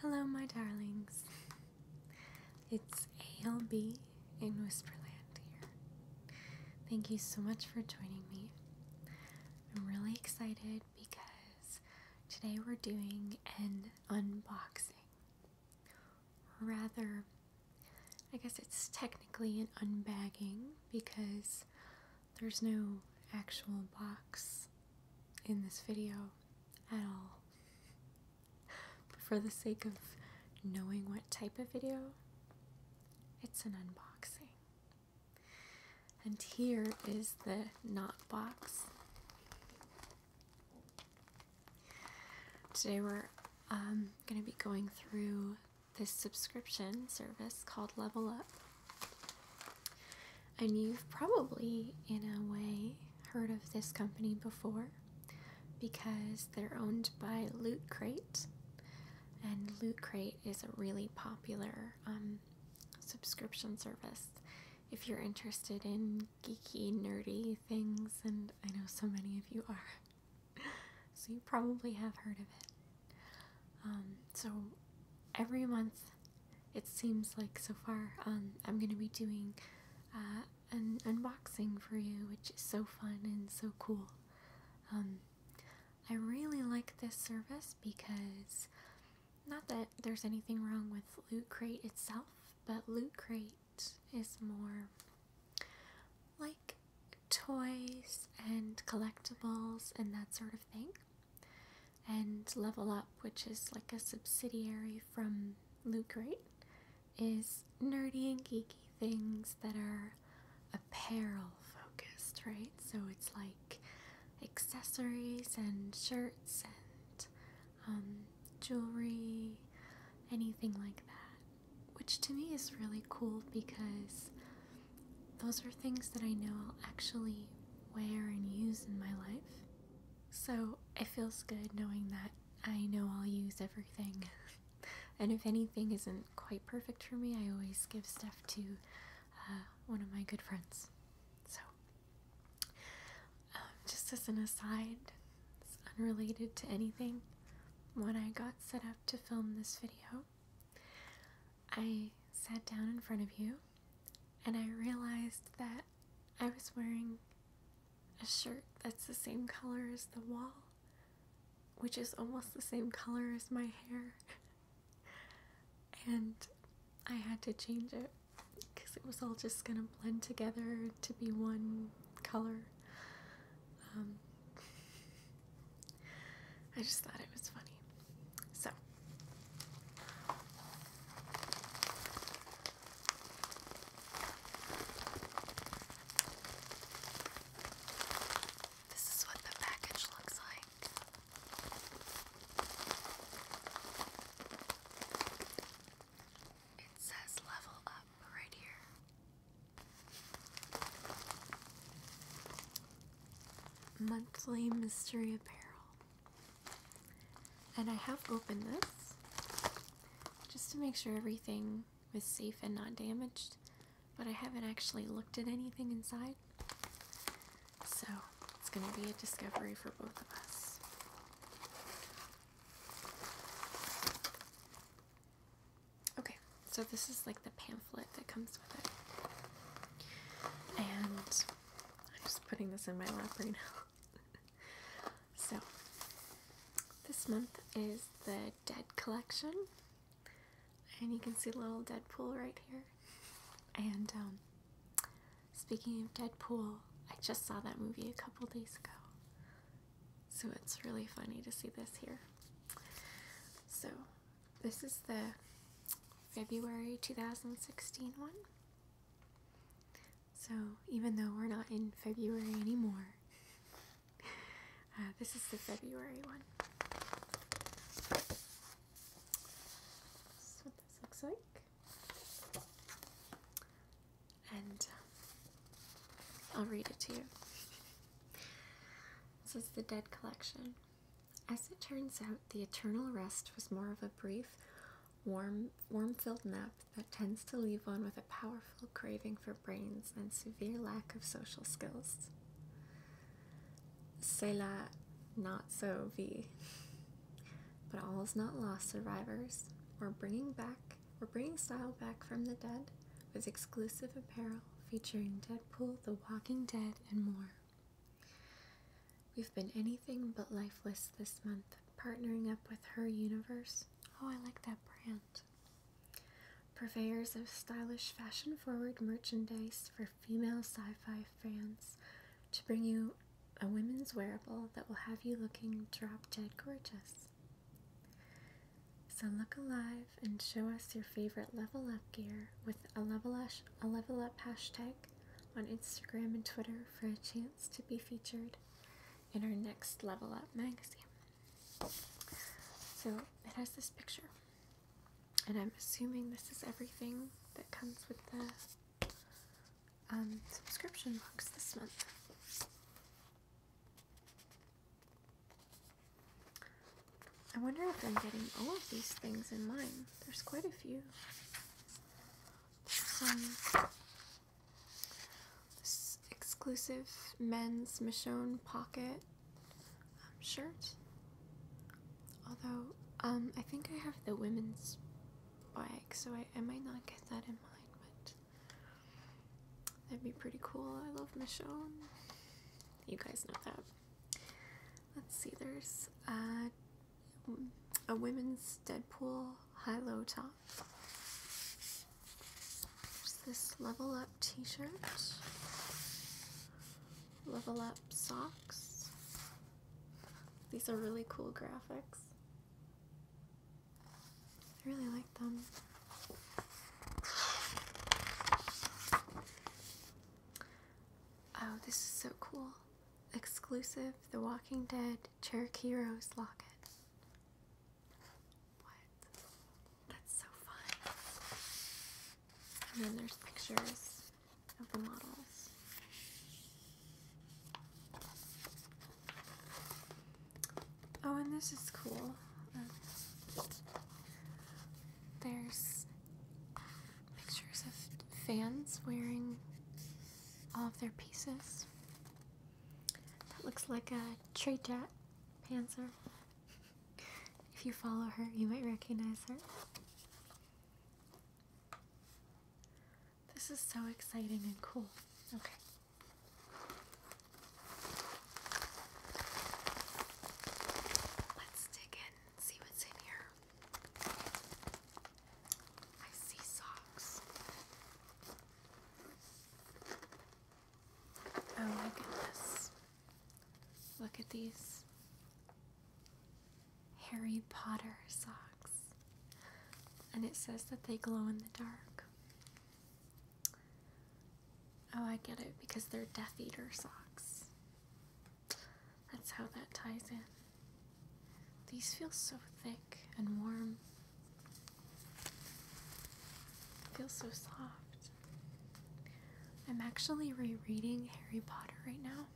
Hello, my darlings. It's ALB in Whisperland here. Thank you so much for joining me. I'm really excited because today we're doing an unboxing. rather, I guess it's technically an unbagging because there's no actual box in this video at all. But for the sake of knowing what type of video, it's an unboxing. And here is the not box. Today we're um, going to be going through this subscription service called Level Up and you've probably, in a way, heard of this company before because they're owned by Loot Crate, and Loot Crate is a really popular um, subscription service. If you're interested in geeky, nerdy things, and I know so many of you are, so you probably have heard of it. Um, so every month it seems like so far. Um, I'm going to be doing uh, an unboxing for you, which is so fun and so cool. Um, I really like this service because not that there's anything wrong with Loot Crate itself, but Loot Crate is more like toys and collectibles and that sort of thing and Level Up, which is like a subsidiary from Loot Crate, is nerdy and geeky things that are apparel focused, right? So it's like accessories and shirts and um, jewelry, anything like that, which to me is really cool because those are things that I know I'll actually wear and use in my life. So it feels good knowing that I know I'll use everything. and if anything isn't quite perfect for me, I always give stuff to uh, one of my good friends. So, um, just as an aside, unrelated to anything. When I got set up to film this video, I sat down in front of you and I realized that I was wearing a shirt that's the same color as the wall, which is almost the same color as my hair. and I had to change it because it was all just gonna blend together to be one color. Um, I just thought it was funny. So, this is what the package looks like. It says level up right here. Monthly mystery apparel. And I have opened this just to make sure everything was safe and not damaged, but I haven't actually looked at anything inside. So it's going to be a discovery for both of us. Okay, so this is like the pamphlet that comes with it. And I'm just putting this in my lap right now. so, this month is the Dead collection, and you can see little Deadpool right here. And um, speaking of Deadpool, I just saw that movie a couple days ago, so it's really funny to see this here. So, this is the February 2016 one. So, even though we're not in February anymore, uh, this is the February one. This is what this looks like. And um, I'll read it to you. this is the Dead Collection. As it turns out, the eternal rest was more of a brief, warm, warm-filled nap that tends to leave one with a powerful craving for brains and severe lack of social skills. C'est la not so vie. But all is not lost, survivors. We're bringing back, we're bringing style back from the dead with exclusive apparel featuring Deadpool, The Walking Dead, and more. We've been anything but lifeless this month, partnering up with Her Universe. Oh, I like that brand. Purveyors of stylish, fashion forward merchandise for female sci fi fans to bring you a women's wearable that will have you looking drop dead gorgeous. So look alive and show us your favorite level up gear with a level, a level up hashtag on Instagram and Twitter for a chance to be featured in our next Level Up magazine. So it has this picture, and I'm assuming this is everything that comes with the um, subscription box this month. I wonder if I'm getting all of these things in mine. There's quite a few. Um, this exclusive men's Michonne pocket um, shirt. Although, um, I think I have the women's bag, so I, I might not get that in mind, but that'd be pretty cool. I love Michonne. You guys know that. Let's see, there's uh, a women's Deadpool high low top. this level up t shirt, level up socks. These are really cool graphics. I really like them. Oh, this is so cool exclusive The Walking Dead Cherokee Rose Locket. What? That's so fun. And then there's pictures of the models. Oh, and this is cool. there's pictures of fans wearing all of their pieces. That looks like a tree panzer. If you follow her, you might recognize her. This is so exciting and cool. Okay. Let's dig in, see what's in here. I see socks. Oh my goodness. Look at these Harry Potter socks. And it says that they glow in the dark. Oh, I get it because they're Death Eater socks. That's how that ties in. These feel so thick and warm. Feels so soft. I'm actually rereading Harry Potter right now,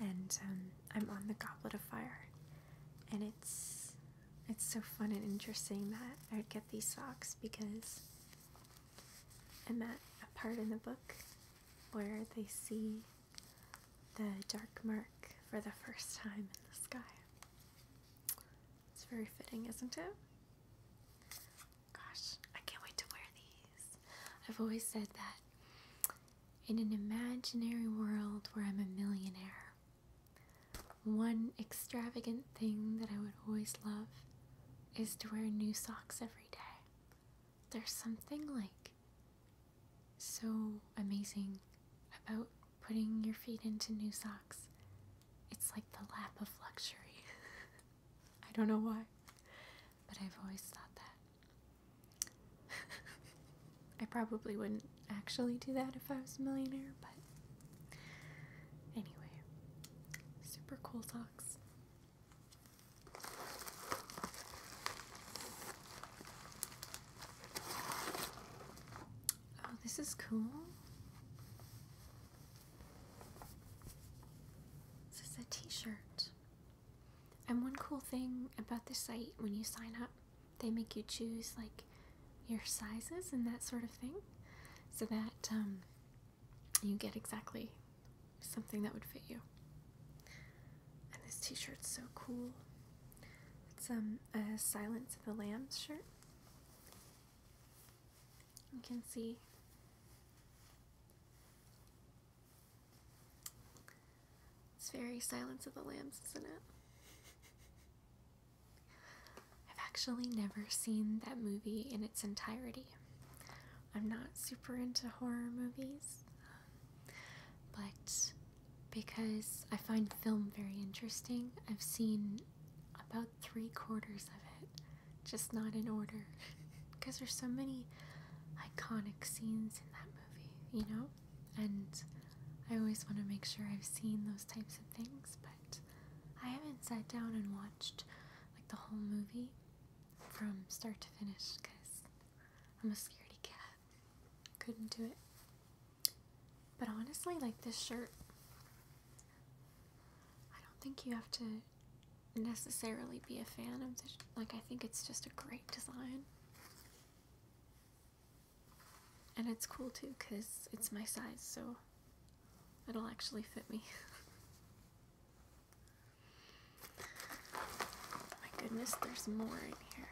and um, I'm on the Goblet of Fire, and it's it's so fun and interesting that I'd get these socks because I'm at a part in the book where they see the dark mark for the first time in the sky. It's very fitting, isn't it? Gosh, I can't wait to wear these. I've always said that in an imaginary world where I'm a millionaire, one extravagant thing that I would always love is to wear new socks every day. There's something like so amazing about putting your feet into new socks. It's like the lap of luxury. I don't know why, but I've always thought that. I probably wouldn't actually do that if I was a millionaire, but anyway, super cool socks. Oh, this is cool. This is a t shirt. And one cool thing about the site when you sign up, they make you choose like your sizes and that sort of thing so that um, you get exactly something that would fit you. And this t-shirt's so cool. It's um a Silence of the Lambs shirt. You can see It's very Silence of the Lambs, isn't it? I've actually never seen that movie in its entirety. I'm not super into horror movies but because I find film very interesting, I've seen about three quarters of it, just not in order, because there's so many iconic scenes in that movie, you know? And I always want to make sure I've seen those types of things, but I haven't sat down and watched like the whole movie from start to finish because I'm a scaredy cat couldn't do it. But honestly, like this shirt, I don't think you have to necessarily be a fan of this. Like, I think it's just a great design. And it's cool too because it's my size, so it'll actually fit me. Oh my goodness, there's more in here.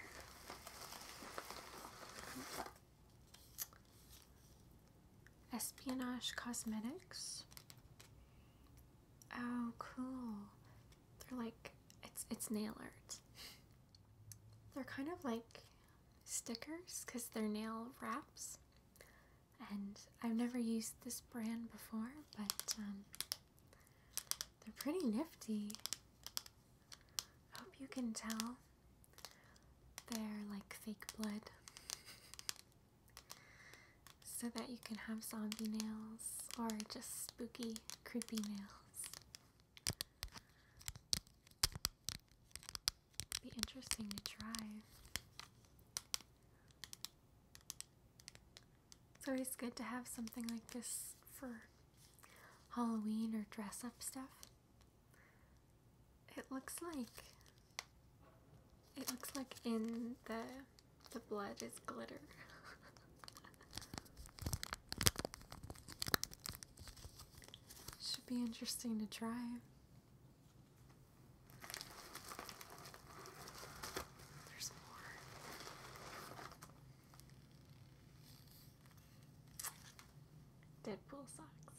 Espionage Cosmetics. Oh, cool. They're like, it's, it's nail art. They're kind of like stickers because they're nail wraps. And I've never used this brand before, but um, they're pretty nifty. Hope you can tell. They're like fake blood. So that you can have zombie nails or just spooky, creepy nails. Be interesting to try. It's always good to have something like this for Halloween or dress up stuff. It looks like it looks like in the the blood is glitter. Should be interesting to try. There's more. Deadpool socks.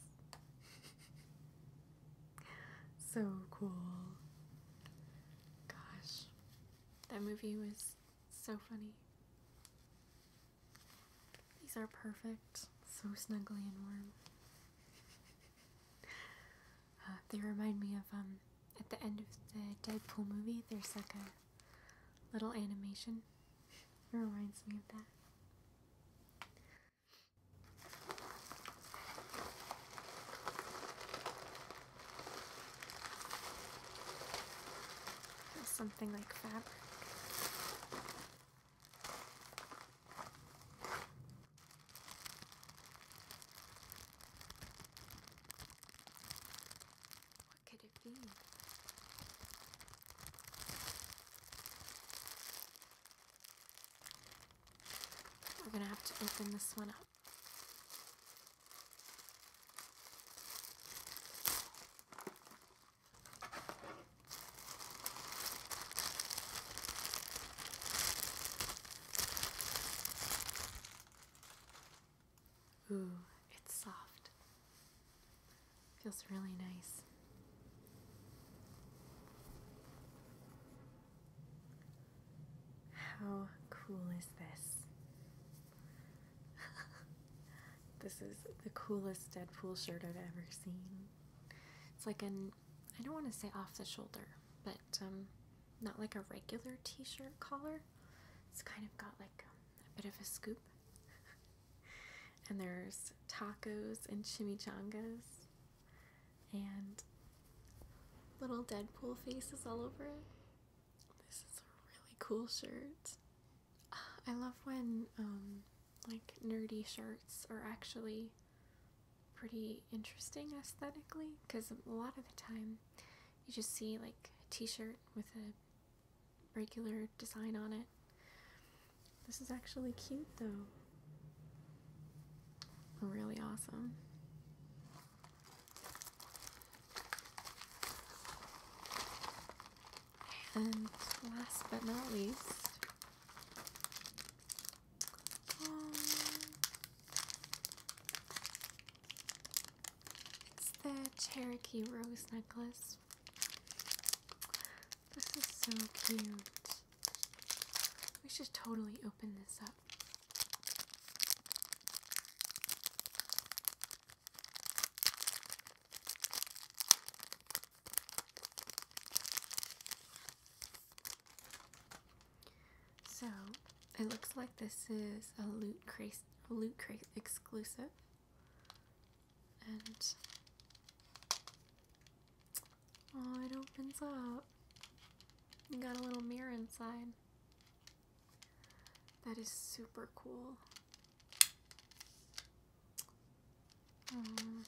so cool. Gosh, that movie was so funny. These are perfect, so snuggly and warm. Uh, they remind me of um, at the end of the Deadpool movie, there's like a little animation. It reminds me of that. Something like fabric. What could it be? We're gonna have to open this one up. Ooh, it's soft. Feels really nice. How cool is this? this is the coolest Deadpool shirt I've ever seen. It's like an, I don't want to say off the shoulder, but um, not like a regular t-shirt collar. It's kind of got like um, a, bit of a scoop. and there's tacos and chimichangas and little Deadpool faces all over it. This is a really cool shirt. I love when um, like nerdy shirts are actually pretty interesting aesthetically because a lot of the time you just see like a t-shirt with a regular design on it. This is actually cute though. Really awesome. And last but not least, um, it's the Cherokee Rose necklace. This is so cute. We should totally open this up. So, it looks like this is a loot crate Loot Crate exclusive. And oh, it opens up. You got a little mirror inside. That is super cool. Mm.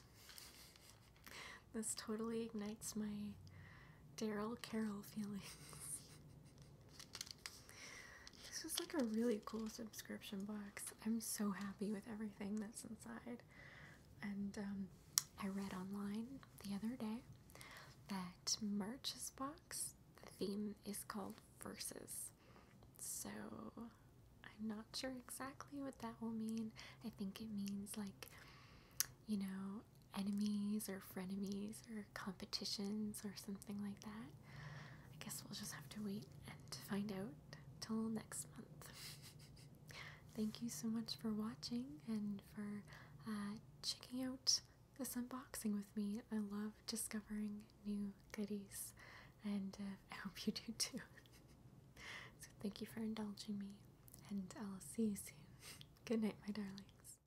this totally ignites my Daryl Carroll feelings. This was like a really cool subscription box. I'm so happy with everything that's inside. And um, I read online the other day that March's box, the theme is called Verses. So I'm not sure exactly what that will mean. I think it means like, you know, enemies or frenemies or competitions or something like that. I guess we'll just have to wait and find out till next month. Thank you so much for watching and for uh, checking out this unboxing with me. I love discovering new goodies and uh, I hope you do too. so thank you for indulging me and I'll see you soon. Good night, my darlings.